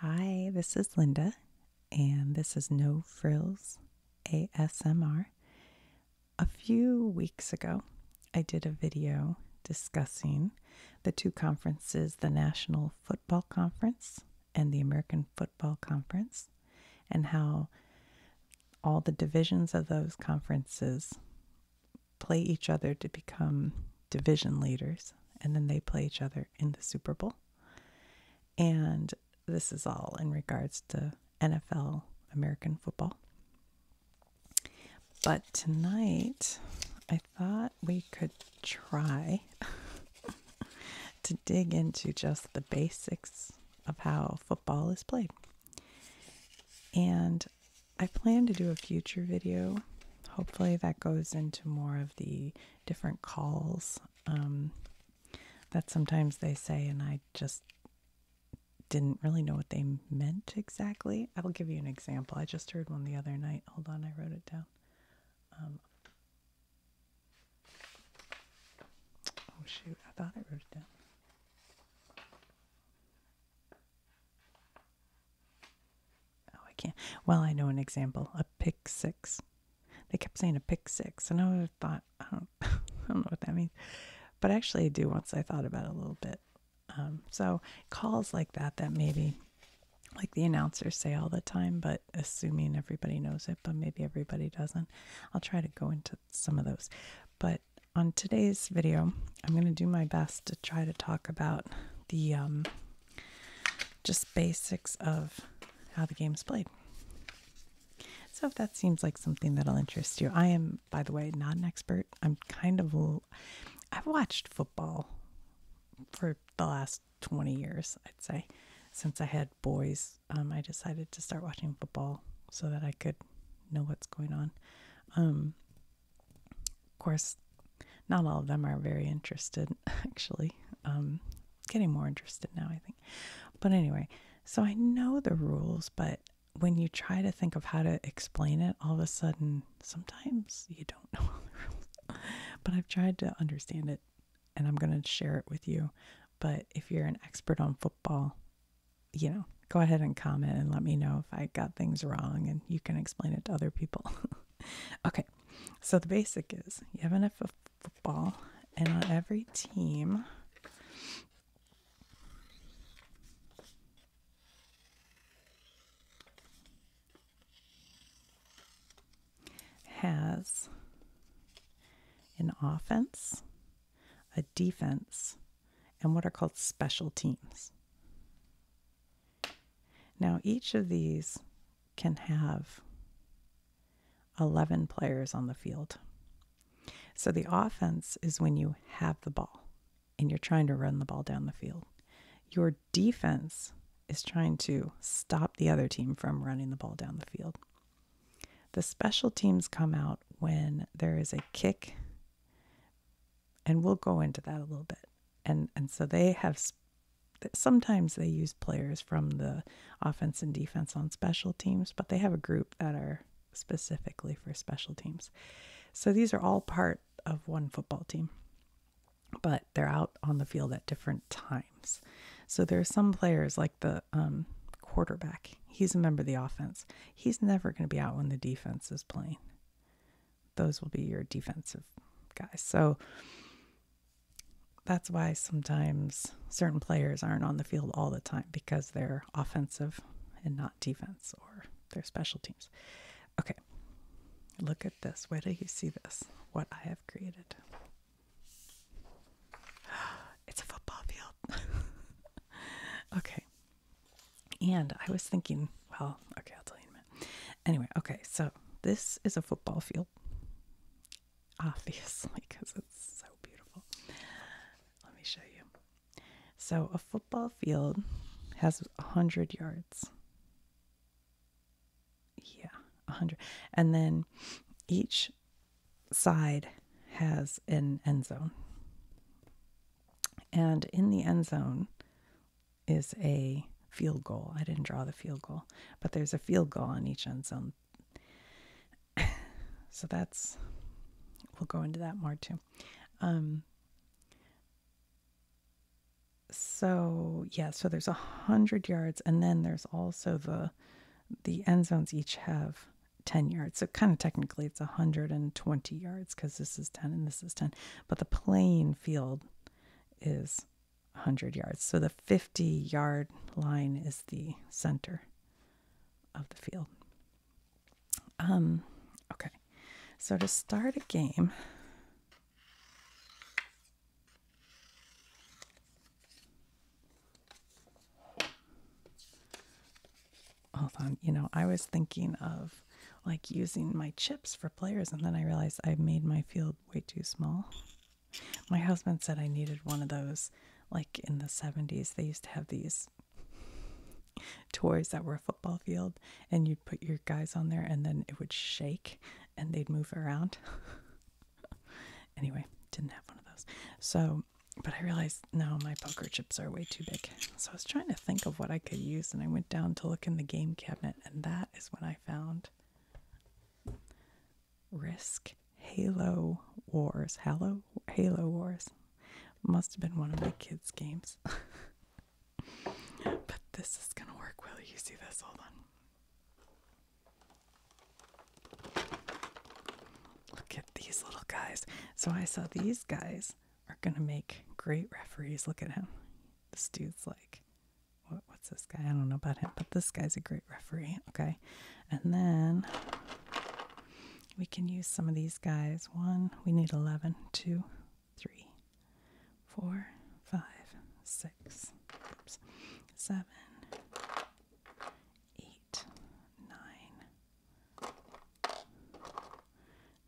Hi, this is Linda, and this is No Frills ASMR. A few weeks ago, I did a video discussing the two conferences the National Football Conference and the American Football Conference, and how all the divisions of those conferences play each other to become division leaders, and then they play each other in the Super Bowl. And this is all in regards to NFL American football. But tonight, I thought we could try to dig into just the basics of how football is played. And I plan to do a future video hopefully that goes into more of the different calls um, that sometimes they say, and I just didn't really know what they meant exactly. I will give you an example. I just heard one the other night. Hold on, I wrote it down. Um, oh, shoot, I thought I wrote it down. Oh, I can't. Well, I know an example a pick six. They kept saying a pick six, and I thought, I don't, I don't know what that means. But actually, I do once I thought about it a little bit. Um, so, calls like that, that maybe like the announcers say all the time, but assuming everybody knows it, but maybe everybody doesn't. I'll try to go into some of those. But on today's video, I'm going to do my best to try to talk about the um, just basics of how the game's played. So if that seems like something that'll interest you, I am, by the way, not an expert. I'm kind of, I've watched football for the last 20 years, I'd say. Since I had boys, um, I decided to start watching football so that I could know what's going on. Um, of course, not all of them are very interested, actually. Um, getting more interested now, I think. But anyway, so I know the rules, but when you try to think of how to explain it, all of a sudden, sometimes you don't know all the But I've tried to understand it and I'm going to share it with you. But if you're an expert on football, you know, go ahead and comment and let me know if I got things wrong and you can explain it to other people. okay, so the basic is you have enough of football, and on every team, has an offense, a defense, and what are called special teams. Now, each of these can have 11 players on the field. So the offense is when you have the ball and you're trying to run the ball down the field. Your defense is trying to stop the other team from running the ball down the field. The special teams come out when there is a kick, and we'll go into that a little bit and and so they have sometimes they use players from the offense and defense on special teams, but they have a group that are specifically for special teams. So these are all part of one football team, but they're out on the field at different times. So there are some players like the um, quarterback. He's a member of the offense. He's never going to be out when the defense is playing those will be your defensive guys. So that's why sometimes certain players aren't on the field all the time because they're offensive and not defense or they're special teams. Okay, look at this. Where do you see this? What I have created. It's a football field. okay, and I was thinking, well, okay, I'll tell you in a minute. Anyway, okay, so this is a football field, obviously, because it's so beautiful. Let me show you. So, a football field has 100 yards. Yeah, 100. And then each side has an end zone. And in the end zone, is a field goal. I didn't draw the field goal, but there's a field goal on each end zone. so that's, we'll go into that more too. Um, so yeah, so there's a hundred yards, and then there's also the the end zones each have 10 yards. So kind of technically it's 120 yards because this is 10 and this is 10 but the playing field is 100 yards. So the 50 yard line is the center of the field. Um, okay, so to start a game, hold on, you know, I was thinking of like using my chips for players, and then I realized I made my field way too small. My husband said I needed one of those, like in the 70s, they used to have these toys that were a football field, and you'd put your guys on there, and then it would shake and they'd move around. anyway, didn't have one of those. So, but I realized no, my poker chips are way too big. So I was trying to think of what I could use, and I went down to look in the game cabinet, and that is when I found Risk Halo Wars. Halo Halo Wars must have been one of my kids' games. but this is gonna work. Will you see this? Hold on. Look at these little guys. So I saw these guys are going to make great referees. Look at him. This dude's like, what's this guy? I don't know about him, but this guy's a great referee. Okay. And then we can use some of these guys. One, we need 11, two, three, four, five, six,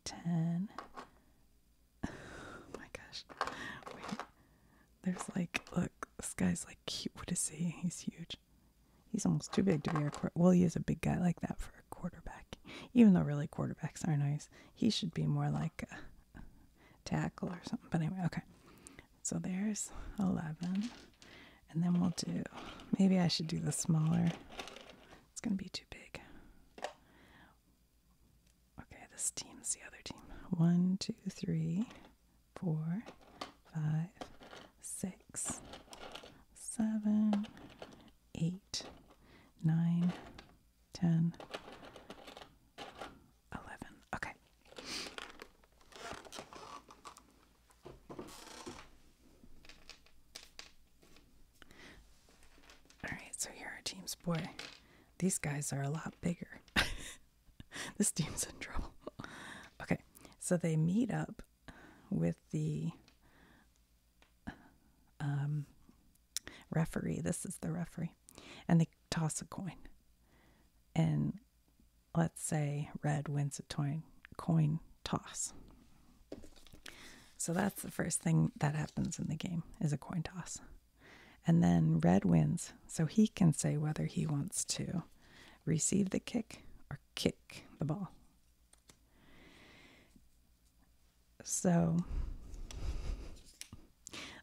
10. oh my gosh. Wait. There's like, look, this guy's like cute. What is he? He's huge. He's almost too big to be a quarterback. Well, he is a big guy like that for a quarterback. Even though really quarterbacks are not nice. He should be more like a tackle or something. But anyway, okay. So there's 11. And then we'll do, maybe I should do the smaller. It's going to be too big. Okay, this team's the other team. One, two, three, four, five, six, seven, eight, nine, ten, eleven. Okay. Alright, so here are teams. Boy, these guys are a lot bigger. this team's in trouble. Okay, so they meet up with the um, referee. This is the referee. And they toss a coin. And let's say red wins a coin, coin toss. So that's the first thing that happens in the game is a coin toss. And then red wins, so he can say whether he wants to receive the kick or kick the ball. So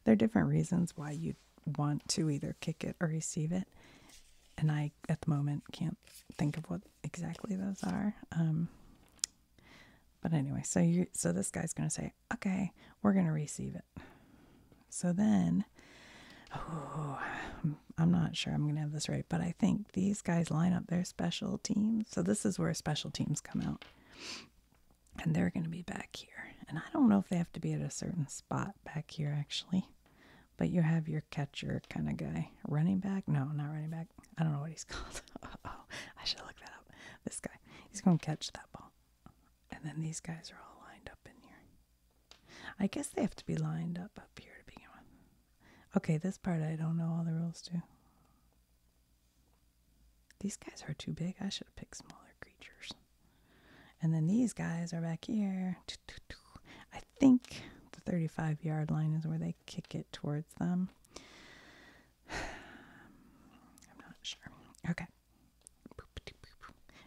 there are different reasons why you want to either kick it or receive it. And I, at the moment, can't think of what exactly those are. Um, but anyway, so you so this guy's going to say, "Okay, we're going to receive it." So then I'm not sure I'm going to have this right, but I think these guys line up their special teams. So this is where special teams come out. And they're going to be back here. And I don't know if they have to be at a certain spot back here actually. But you have your catcher kind of guy. Running back? No, not running back. I don't know what he's called. oh, I should look that up. This guy, he's gonna catch that ball. And then these guys are all lined up in here. I guess they have to be lined up up here to begin with. Okay, this part I don't know all the rules to. These guys are too big. I should have picked smaller creatures. And then these guys are back here. I think the 35 yard line is where they kick it towards them? I'm not sure. Okay.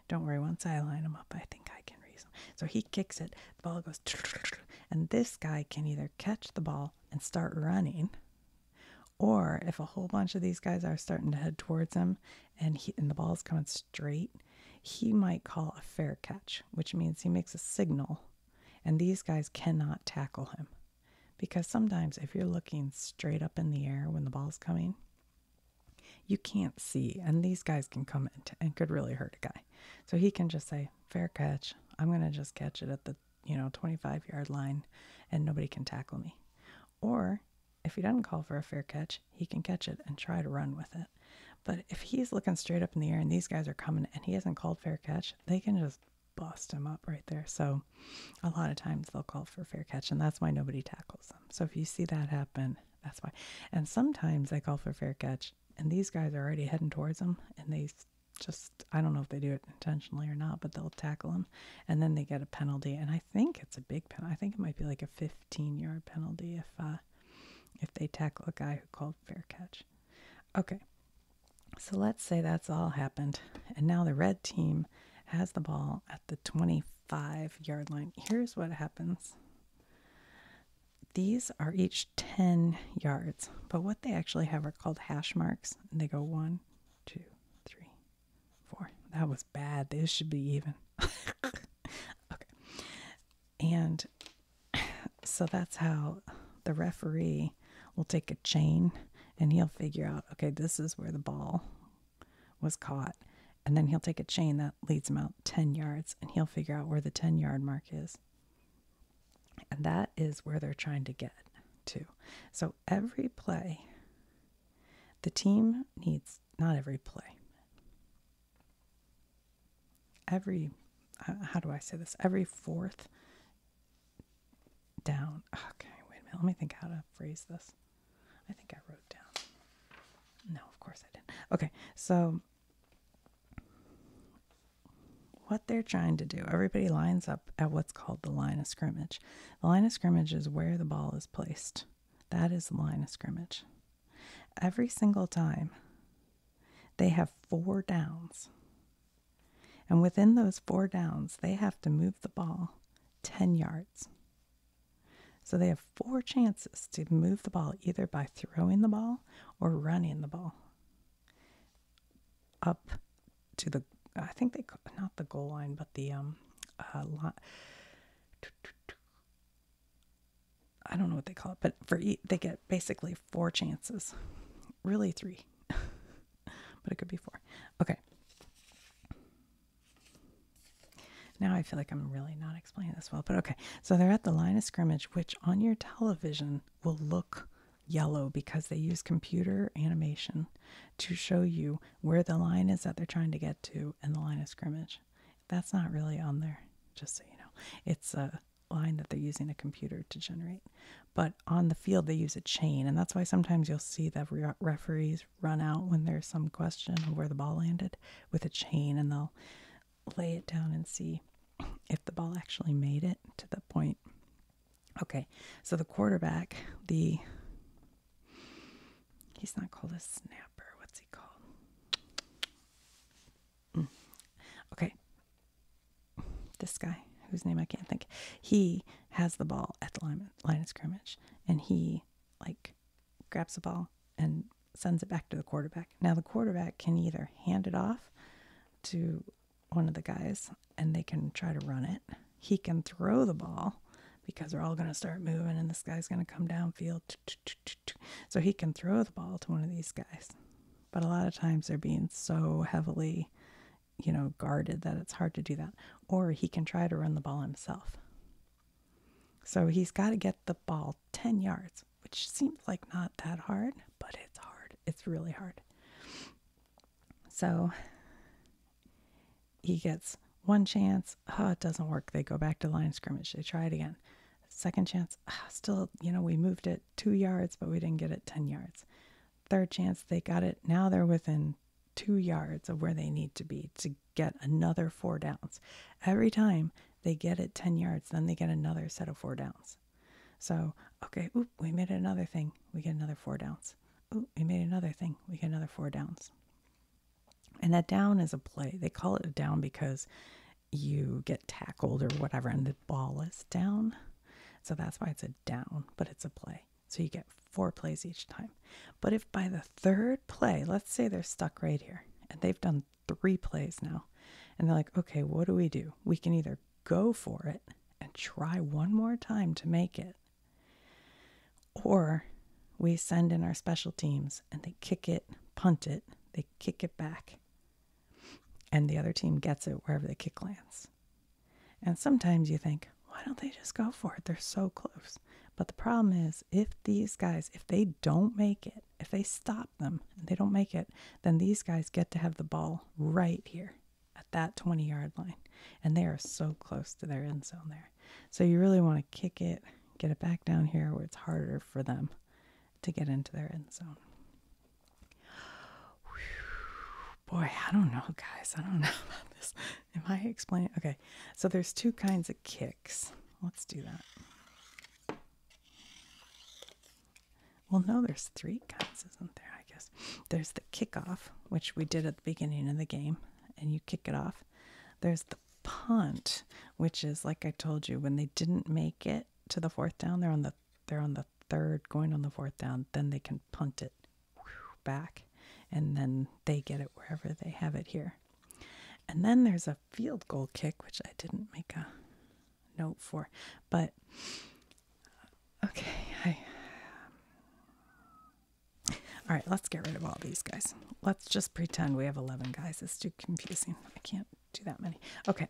Don't worry, once I line them up, I think I can reason. So he kicks it, the ball goes, and this guy can either catch the ball and start running, or if a whole bunch of these guys are starting to head towards him and, he, and the ball is coming straight, he might call a fair catch, which means he makes a signal and these guys cannot tackle him because sometimes if you're looking straight up in the air when the ball's coming, you can't see. And these guys can come in and could really hurt a guy. So he can just say, fair catch. I'm going to just catch it at the, you know, 25 yard line and nobody can tackle me. Or if he doesn't call for a fair catch, he can catch it and try to run with it. But if he's looking straight up in the air and these guys are coming and he hasn't called fair catch, they can just bust them up right there. So a lot of times they'll call for fair catch, and that's why nobody tackles them. So if you see that happen, that's why. And sometimes they call for fair catch, and these guys are already heading towards them, and they just, I don't know if they do it intentionally or not, but they'll tackle them, and then they get a penalty. And I think it's a big penalty. I think it might be like a 15 yard penalty if, uh, if they tackle a guy who called fair catch. Okay, so let's say that's all happened. And now the red team has the ball at the 25 yard line. Here's what happens these are each 10 yards, but what they actually have are called hash marks. And they go one, two, three, four. That was bad. This should be even. okay. And so that's how the referee will take a chain and he'll figure out, okay, this is where the ball was caught. And then he'll take a chain that leads him out 10 yards and he'll figure out where the 10 yard mark is. And that is where they're trying to get to. So every play, the team needs, not every play, every uh, how do I say this? Every fourth down. Okay, wait a minute. Let me think how to phrase this. I think I wrote down. No, of course I didn't. Okay, so what they're trying to do, everybody lines up at what's called the line of scrimmage. The line of scrimmage is where the ball is placed. That is the line of scrimmage. Every single time they have four downs. And within those four downs, they have to move the ball 10 yards. So they have four chances to move the ball either by throwing the ball or running the ball up to the I think they not the goal line but the um uh, line, I don't know what they call it, but for e- they get basically four chances, really three, but it could be four. Okay. Now I feel like I'm really not explaining this well, but okay. So they're at the line of scrimmage, which on your television will look yellow because they use computer animation to show you where the line is that they're trying to get to in the line of scrimmage. That's not really on there, just so you know. It's a uh, line that they're using a computer to generate. But on the field, they use a chain, and that's why sometimes you'll see the referees run out when there's some question of where the ball landed with a chain, and they'll lay it down and see if the ball actually made it to the point. Okay, so the quarterback, the he's not called a snapper. What's he called? Hmm. Okay, this guy whose name I can't think, he has the ball at the line, of scrimmage and he like grabs the ball and sends it back to the quarterback. Now the quarterback can either hand it off to one of the guys and they can try to run it. He can throw the ball because they're all going to start moving and this guy's going to come downfield. So he can throw the ball to one of these guys. But a lot of times they're being so heavily, you know, guarded that it's hard to do that. Or he can try to run the ball himself. So he's got to get the ball 10 yards, which seems like not that hard, but it's hard. It's really hard. So he gets one chance. Oh, it doesn't work. They go back to line scrimmage. They try it again. Second chance. Ah, still, you know, we moved it two yards, but we didn't get it 10 yards. Third chance, they got it. Now they're within two yards of where they need to be to get another four downs. Every time they get it 10 yards, then they get another set of four downs. So, okay, we made another thing. We get another four downs. we made another thing. We get another four downs. And that down is a play. They call it a down because you get tackled or whatever and the ball is down. So that's why it's a down, but it's a play. So you get four plays each time. But if by the third play, let's say they're stuck right here and they've done three plays now, and they're like, okay, what do we do? We can either go for it and try one more time to make it, or we send in our special teams and they kick it, punt it, they kick it back and the other team gets it wherever the kick lands. And sometimes you think, why don't they just go for it? They're so close. But the problem is, if these guys, if they don't make it, if they stop them and they don't make it, then these guys get to have the ball right here at that 20 yard line. And they are so close to their end zone there. So you really want to kick it, get it back down here where it's harder for them to get into their end zone. boy, I don't know, guys. I don't know about this. Am I explaining? Okay, so there's two kinds of kicks. Let's do that. Well, no, there's three kinds, isn't there? I guess there's the kickoff, which we did at the beginning of the game, and you kick it off. There's the punt, which is like I told you, when they didn't make it, to the fourth down. They're on the they're on the third, going on the fourth down. Then they can punt it back, and then they get it wherever they have it here. And then there's a field goal kick, which I didn't make a note for, but uh, okay, I. Um, all right, let's get rid of all these guys. Let's just pretend we have 11 guys. It's too confusing. I can't do that many. Okay,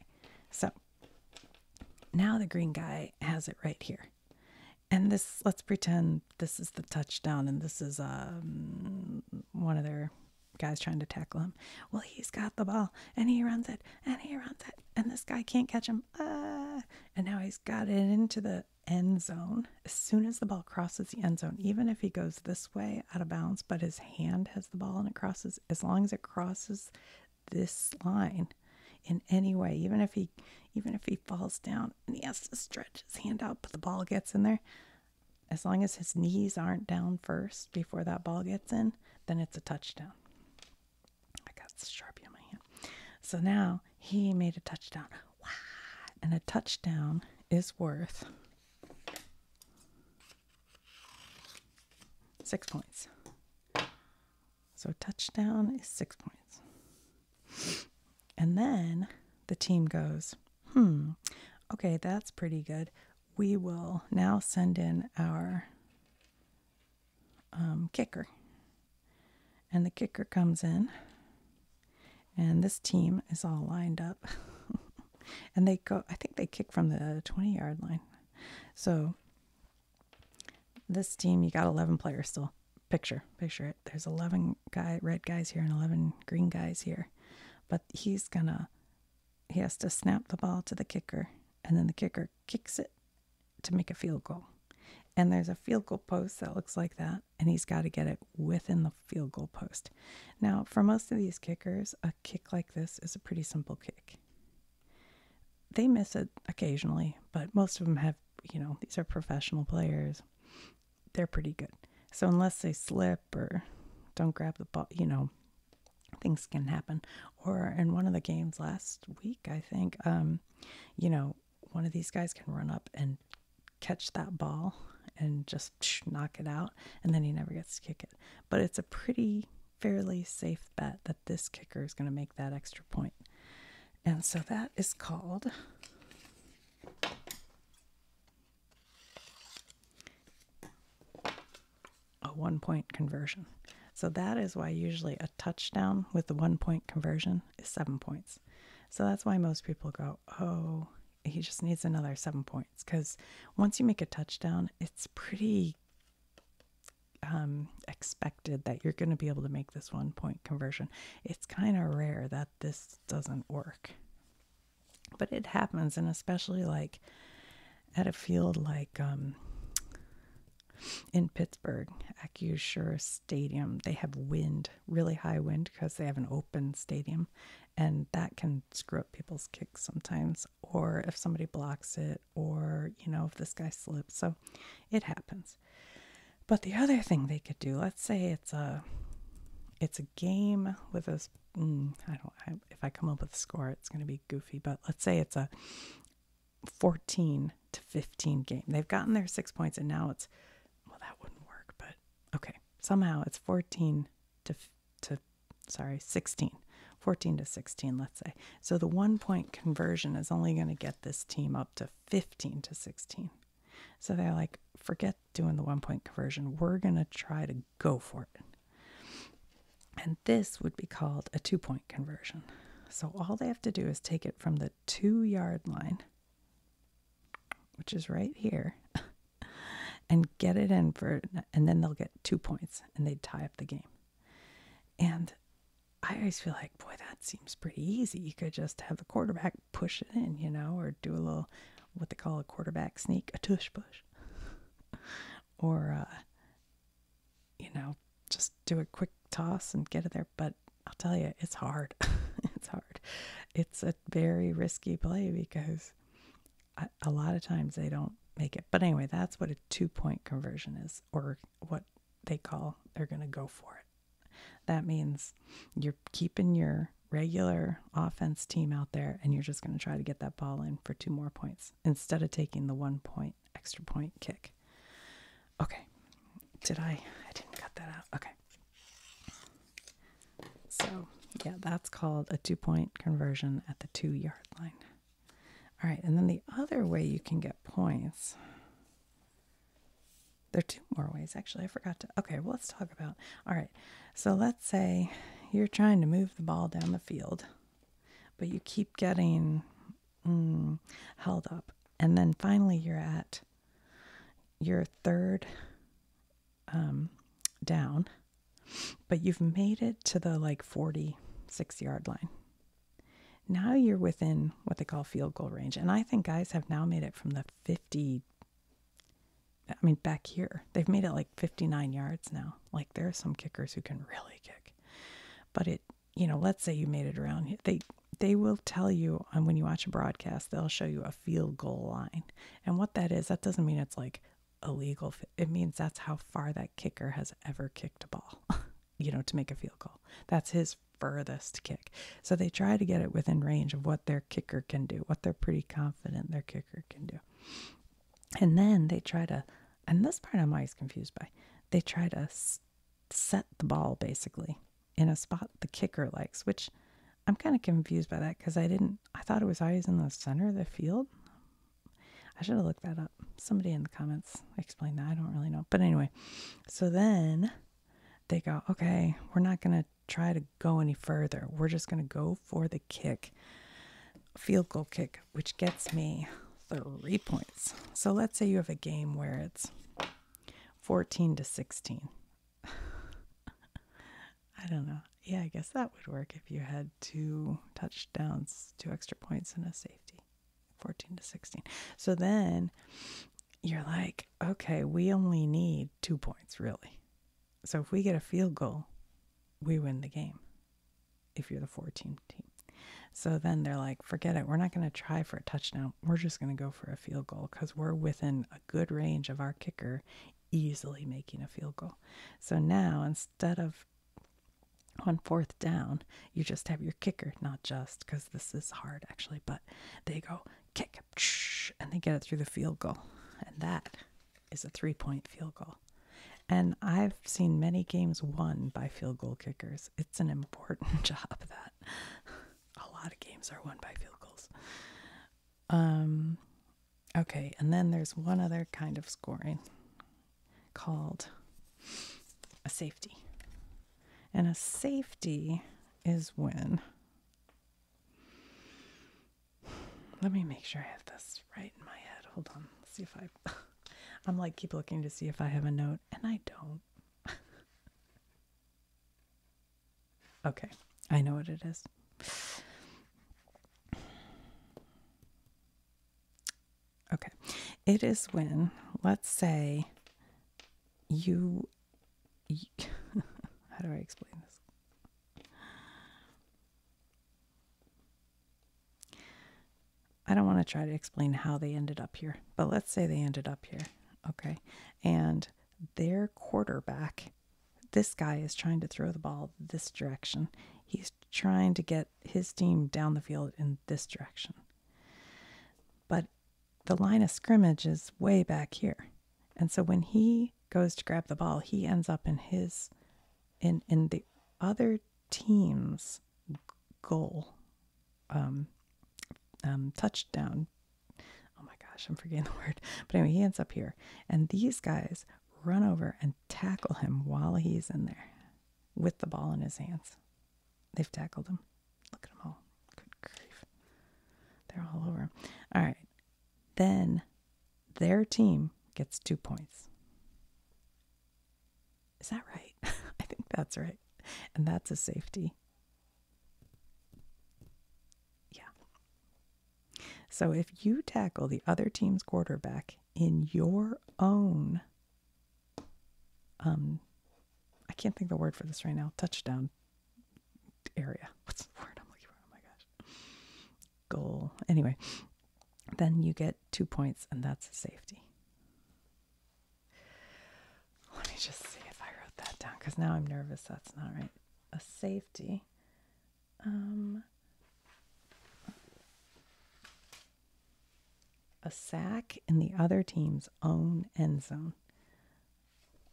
so now the green guy has it right here. And this, let's pretend this is the touchdown and this is um, one of their guys trying to tackle him. Well, he's got the ball and he runs it and he runs it and this guy can't catch him. Ah! And now he's got it into the end zone. As soon as the ball crosses the end zone, even if he goes this way out of bounds, but his hand has the ball and it crosses, as long as it crosses this line in any way, even if he even if he falls down and he has to stretch his hand out, but the ball gets in there, as long as his knees aren't down first before that ball gets in, then it's a touchdown. I got Sharpie on my hand. So now he made a touchdown. And a touchdown is worth Six points. So touchdown is six points. And then the team goes, hmm, okay, that's pretty good. We will now send in our um, kicker. And the kicker comes in, and this team is all lined up. and they go i think they kick from the 20 yard line so this team you got 11 players still picture picture it there's 11 guy red guys here and 11 green guys here but he's gonna he has to snap the ball to the kicker and then the kicker kicks it to make a field goal and there's a field goal post that looks like that and he's got to get it within the field goal post now for most of these kickers kick like this is a pretty simple kick. They miss it occasionally, but most of them have, you know, these are professional players. They're pretty good. So unless they slip or don't grab the ball, you know, things can happen. Or in one of the games last week, I think, um, you know, one of these guys can run up and catch that ball and just knock it out, and then he never gets to kick it. But it's a pretty fairly safe bet that this kicker is going to make that extra And so that is called a one point conversion. So that is why usually a touchdown with the one point conversion is seven points. So that's why most people go, oh, he just needs another seven points. It's because once you make a touchdown, it's pretty um, expected that you're going to be able to make this one point conversion. It's kind of rare that this doesn't work, but it happens, and especially like at a field like um, in Pittsburgh, AccuSure Stadium, they have wind, really high wind, because they have an open stadium, and that can screw up people's kicks sometimes or if somebody blocks it, or, you know, if this guy slips. So it happens. But the other thing they could do, let's say it's a it's a game with a mm, don't if I come up with a score, it's going to be goofy, but let's say it's a 14 to 15 game. They've gotten their 6 points and now it's well that wouldn't work, but okay. Somehow it's 14 to to sorry, 16, 14 to 16, let's say. So the one point conversion is only going to get this team up to 15 to 16. So they're like, forget doing the one point conversion. We're going to try to go for it. And this would be called a two point conversion. So all they have to do is take it from the two yard line, which is right here, and get it in for, and then they'll get two points and they tie up the game. And I always feel like, boy, that seems pretty easy. You could just have the quarterback push it in, you know, or do a little, what they call a quarterback sneak, a tush push. or, uh, you know, just do a quick toss and get it there. But I'll tell you, it's hard. it's hard. It's a very risky play because a, lot of times they don't make it. But anyway, that's what a two point conversion is, or what they call they're going to go for it. That means you're keeping your regular offense team out there and you're just going to try to get that ball in for two more points instead of taking the one point extra point kick. Okay. Did I? I didn't cut that out. Okay. So, yeah, that's called a two point conversion at the two yard line. All right, and then the other way you can get points. There are two more ways, actually. I forgot to. Okay, well, let's talk about. All right, so let's say you're trying to move the ball down the field, but you keep getting mm, held up. And then finally, you're at your third um, down, but you've made it to the like 46 yard line. Now you're within what they call field goal range. And I think guys have now made it from the 50, I mean, back here. They've made it like 59 yards now. Like there are some kickers who can really kick. But it, you know, let's say you made it around. They, they will tell you and um, when you watch a broadcast they'll show you a field goal line and what that is that doesn't mean it's like Illegal. it means that's how far that kicker has ever kicked a ball, you know, to make a field goal. That's his furthest kick. So they try to get it within range of what their kicker can do, what they're pretty confident their kicker can do. And then they try to, and this part I'm always confused by, they try to set the ball basically in a spot the kicker likes, which I'm kind of confused by that because I didn't, I thought it was always in the center of the field. I should have looked that up. Somebody in the comments explained that. I don't really know. But anyway, so then they go, okay, we're not going to try to go any further. We're just going to go for the kick, field goal kick, which gets me three points. So let's say you have a game where it's 14 to 16, I don't know. Yeah, I guess that would work if you had two touchdowns, two extra points, and a safety 14 to 16. So then you're like, okay, we only need two points, really. So if we get a field goal, we win the game if you're the 14 team. So then they're like, forget it. We're not going to try for a touchdown. We're just going to go for a field goal because we're within a good range of our kicker, easily making a field goal. So now instead of on fourth down, you just have your kicker, not just because this is hard actually, but they go kick and they get it through the field goal. And that is a three point field goal. And I've seen many games won by field goal kickers. It's an important job that a lot of games are won by field goals. Um, okay, and then there's one other kind of scoring called a safety. And a safety is when. Let me make sure I have this right in my head. Hold on. Let's see if I. I'm like, keep looking to see if I have a note, and I don't. Okay, I know what it is. Okay, it is when, let's say, you, you how do I explain this? I don't want to try to explain how they ended up here, but let's say they ended up here. Okay. And their quarterback this guy is trying to throw the ball this direction. He's trying to get his team down the field in this direction. But the line of scrimmage is way back here. And so when he goes to grab the ball, he ends up in his in in the other team's goal um, um, touchdown oh my gosh, I'm forgetting the word. But anyway, he ends up here. And these guys run over and tackle him while he's in there with the ball in his hands. They've tackled him. Look at them all. Good grief. They're all over him. All right. Then their team gets two points. Is that right? I think that's right. And that's a safety. Yeah. So if you tackle the other team's quarterback in your own, um, I can't think the word for this right now, touchdown area. What's the word I'm looking for? Oh my gosh. Goal. Anyway, then you get two points, and that's a safety. Let me just see if I wrote that down because now I'm nervous. That's not right. A safety um, a sack in the other team's own end zone.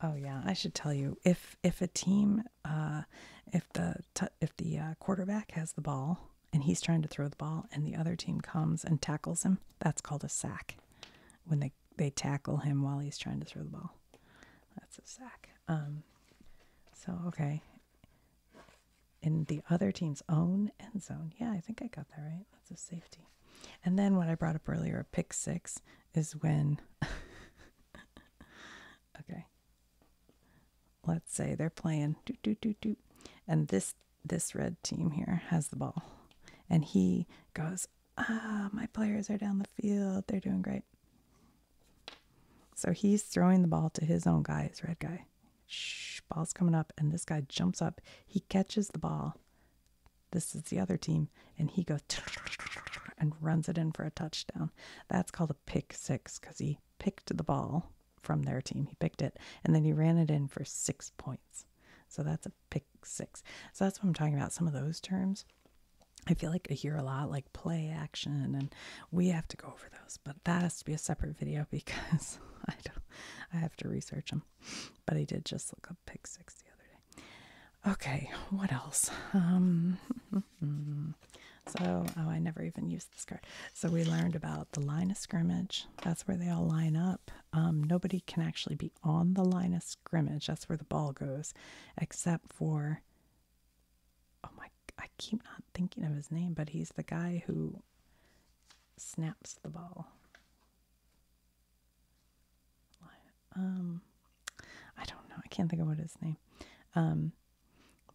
Oh yeah, I should tell you if if a team uh, if the if the uh, quarterback has the ball and he's trying to throw the ball and the other team comes and tackles him, that's called a sack. When they they tackle him while he's trying to throw the ball. That's a sack. Um, so, okay. In the other team's own end zone. Yeah, I think I got that right. That's a safety. And then what I brought up earlier, a pick six, is when. okay. Let's say they're playing do do do do, and this this red team here has the ball, and he goes, ah, my players are down the field. They're doing great. So he's throwing the ball to his own guy, his red guy. ball's coming up, and this guy jumps up. He catches the ball. This is the other team, and he goes and runs it in for a touchdown. That's called a pick six because he picked the ball from their team. He picked it, and then he ran it in for six points. So that's a pick six. So that's what I'm talking about. Some of those terms I feel like I hear a lot like play action, and we have to go over those, but that has to be a separate video because I don't, I have to research them. But I did just look up Pick Six the other day. Okay, what else? Um, so, oh, I never even used this card. So, we learned about the line of scrimmage, that's where they all line up. Um, nobody can actually be on the line of scrimmage, that's where the ball goes, except for oh my I keep not thinking of his name, but he's the guy who snaps the ball. Um I don't know. I can't think of what his name. Um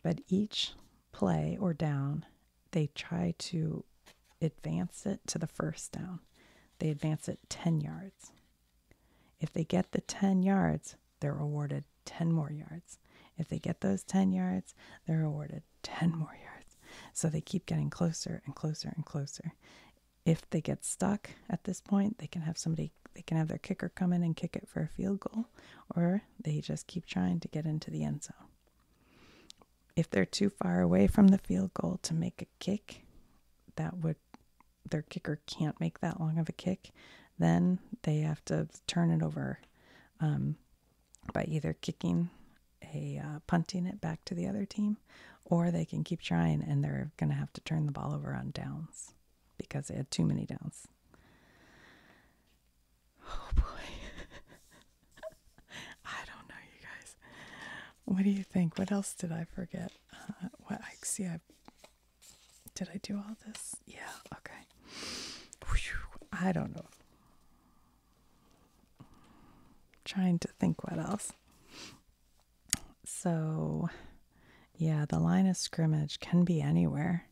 but each play or down, they try to advance it to the first down. They advance it 10 yards. If they get the 10 yards, they're awarded 10 more yards. If they get those 10 yards, they're awarded 10 more yards. So they keep getting closer and closer and closer. If they get stuck at this point, they can have somebody, they can have their kicker come in and kick it for a field goal, or they just keep trying to get into the end zone. If they're too far away from the field goal to make a kick, that would their kicker can't make that long of a kick, then they have to turn it over um, by either kicking a uh, punting it back to the other team, or they can keep trying and they're going to have to turn the ball over on downs because they had too many downs. Oh boy. I don't know, you guys. What do you think? What else did I forget? Uh, what I see, I did I do all this? Yeah, okay. I don't know. trying to think what else. So, yeah, the line of scrimmage can be anywhere.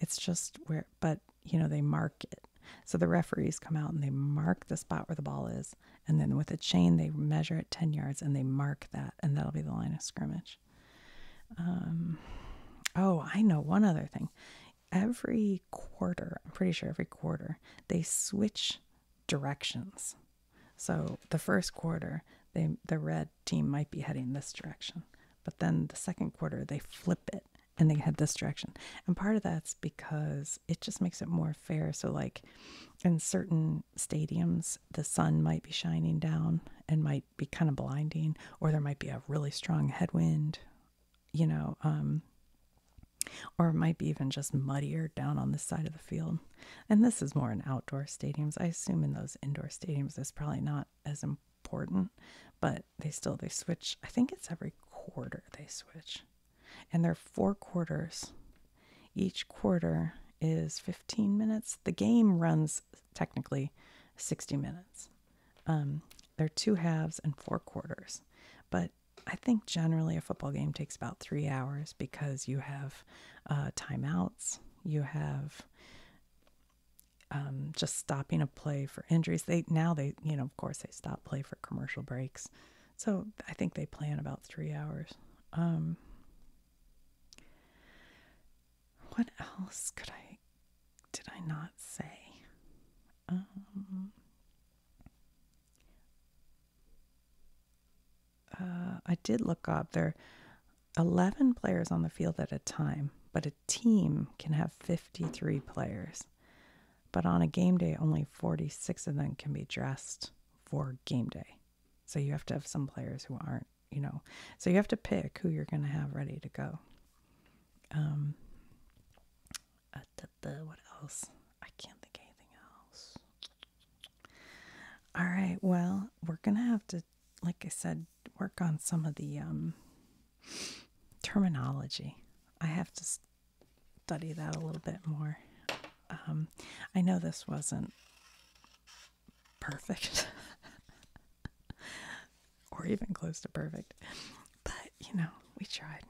It's just where, but you know, they mark it. So the referees come out and they mark the spot where the ball is. And then with a chain, they measure it 10 yards and they mark that, and that'll be the line of scrimmage. Um, oh, I know one other thing. Every quarter, I'm pretty sure every quarter, they switch directions. So the first quarter, they the red team might be heading this direction, but then the second quarter they flip it and they head this direction. And part of that's because it just makes it more fair. So like in certain stadiums the sun might be shining down and might be kind of blinding, or there might be a really strong headwind, you know, um, or it might be even just muddier down on the side of the field. And this is more in outdoor stadiums. I assume in those indoor stadiums, it's probably not as important, but they still they switch. I think it's every quarter they switch, and they're four quarters each quarter is 15 minutes. The game runs technically 60 minutes. Um, there are two halves and four quarters. But I think generally a football game takes about three hours because you have uh, timeouts, you have um, just stopping a play for injuries. They now they you know of course they stop play for commercial breaks, so I think they plan about three hours. Um, what else could I did I not say? Um, uh, I did look up there are 11 players on the field at a time, but a team can have 53 players. But on a game day, only 46 of them can be dressed for game day. So you have to have some players who aren't, you know. So you have to pick who you're going to have ready to go. Um, uh, what else? I can't think anything else. All right. Well, we're going to have to, like I said, work on some of the um, terminology. I have to study that a little bit more. Um, I know this wasn't perfect or even close to perfect, but you know, we tried.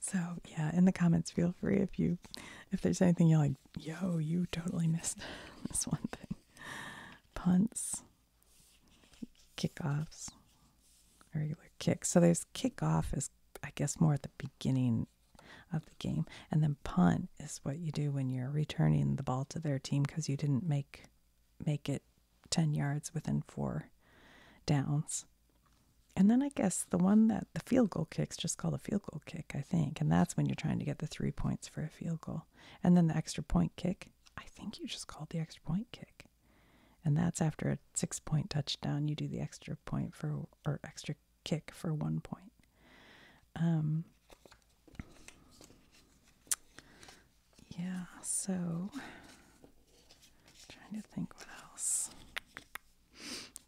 so, yeah, in the comments, feel free if you if there's anything you like, yo, you totally missed this one thing. Punts, kickoffs, regular kicks. So there's kickoff is I guess more at the beginning of the game. And then punt is what you do when you're returning the ball to their team because you didn't make make it 10 yards within four downs. And then I guess the one that the field goal kick's just called a field goal kick, I think. And that's when you're trying to get the three points for a field goal. And then the extra point kick, I think you just called the extra point kick. And that's after a six point touchdown, you do the extra point for or extra kick for one point. Um, yeah, so trying to think what else.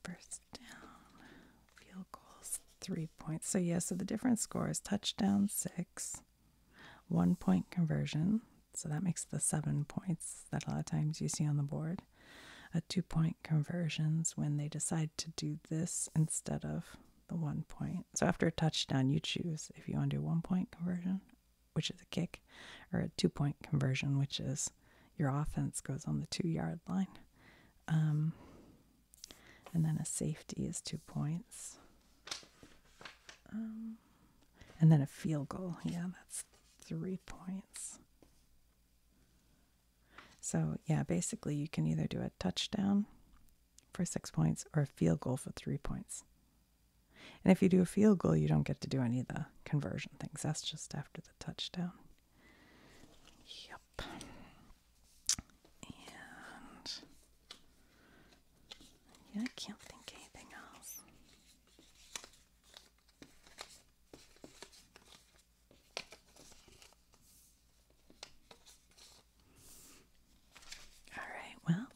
First down, field goals, three points. So, yeah, so the different scores touchdown, six, one point conversion. So that makes the seven points that a lot of times you see on the board hard two point conversions when they decide to do this instead of the one point. So after a touchdown, you choose if you want to do one point conversion, which is a kick, or a two point conversion, which is your offense goes on the two yard line. Um, and then a safety is two points. Um, and then a field goal. Yeah, that's three points. So, yeah, basically, you can either do a touchdown for six points or a field goal for three points. And if you do a field goal, you don't get to do any of the conversion things. That's just after the touchdown. Yep. And yeah, I can't think anything else. All right, well,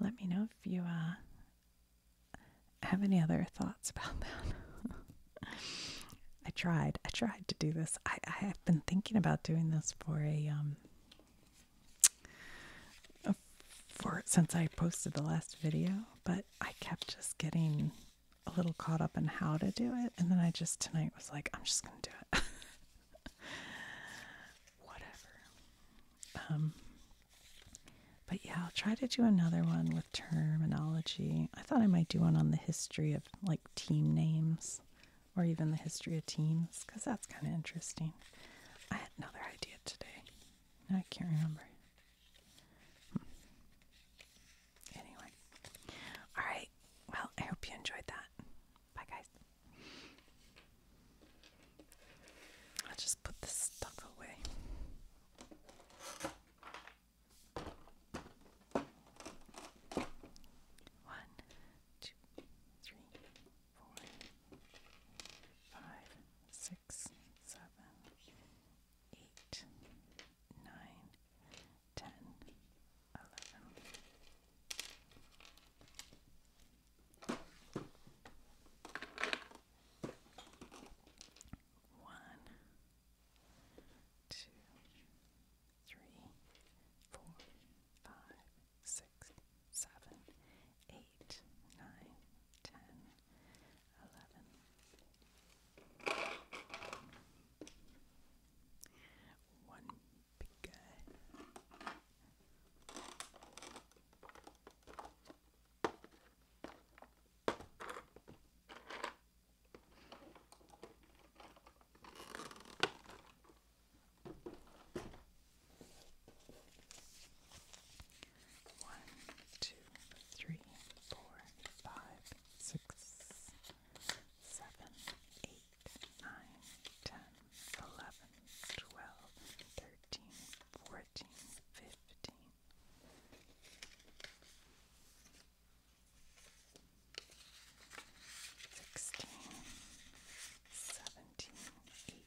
let me know if you uh, have any other thoughts about that. I tried, I tried to do this. I, I have been thinking about doing this for a, um, for since I posted the last video, but I kept just getting a little caught up in how to do it. And then I just tonight was like, I'm just going to do it. Whatever. Um, but yeah, I'll try to do another one with terminology. I thought I might do one on the history of like team names or even the history of teams because that's kind of interesting. I had another idea today. I can't remember. Anyway. Alright. Well, I hope you enjoyed that. Bye, guys. I'll just put this stuff away. One, two, three, four, five, six, seven, eight, nine, ten, eleven. One, two, three, four, five, six, seven, eight eight, nine, ten, eleven. One big guy. One, two, three, four, five, six, seven, eight, nine, ten, eleven, twelve, thirteen, fourteen, fifteen. Sixteen, seventeen, eighteen,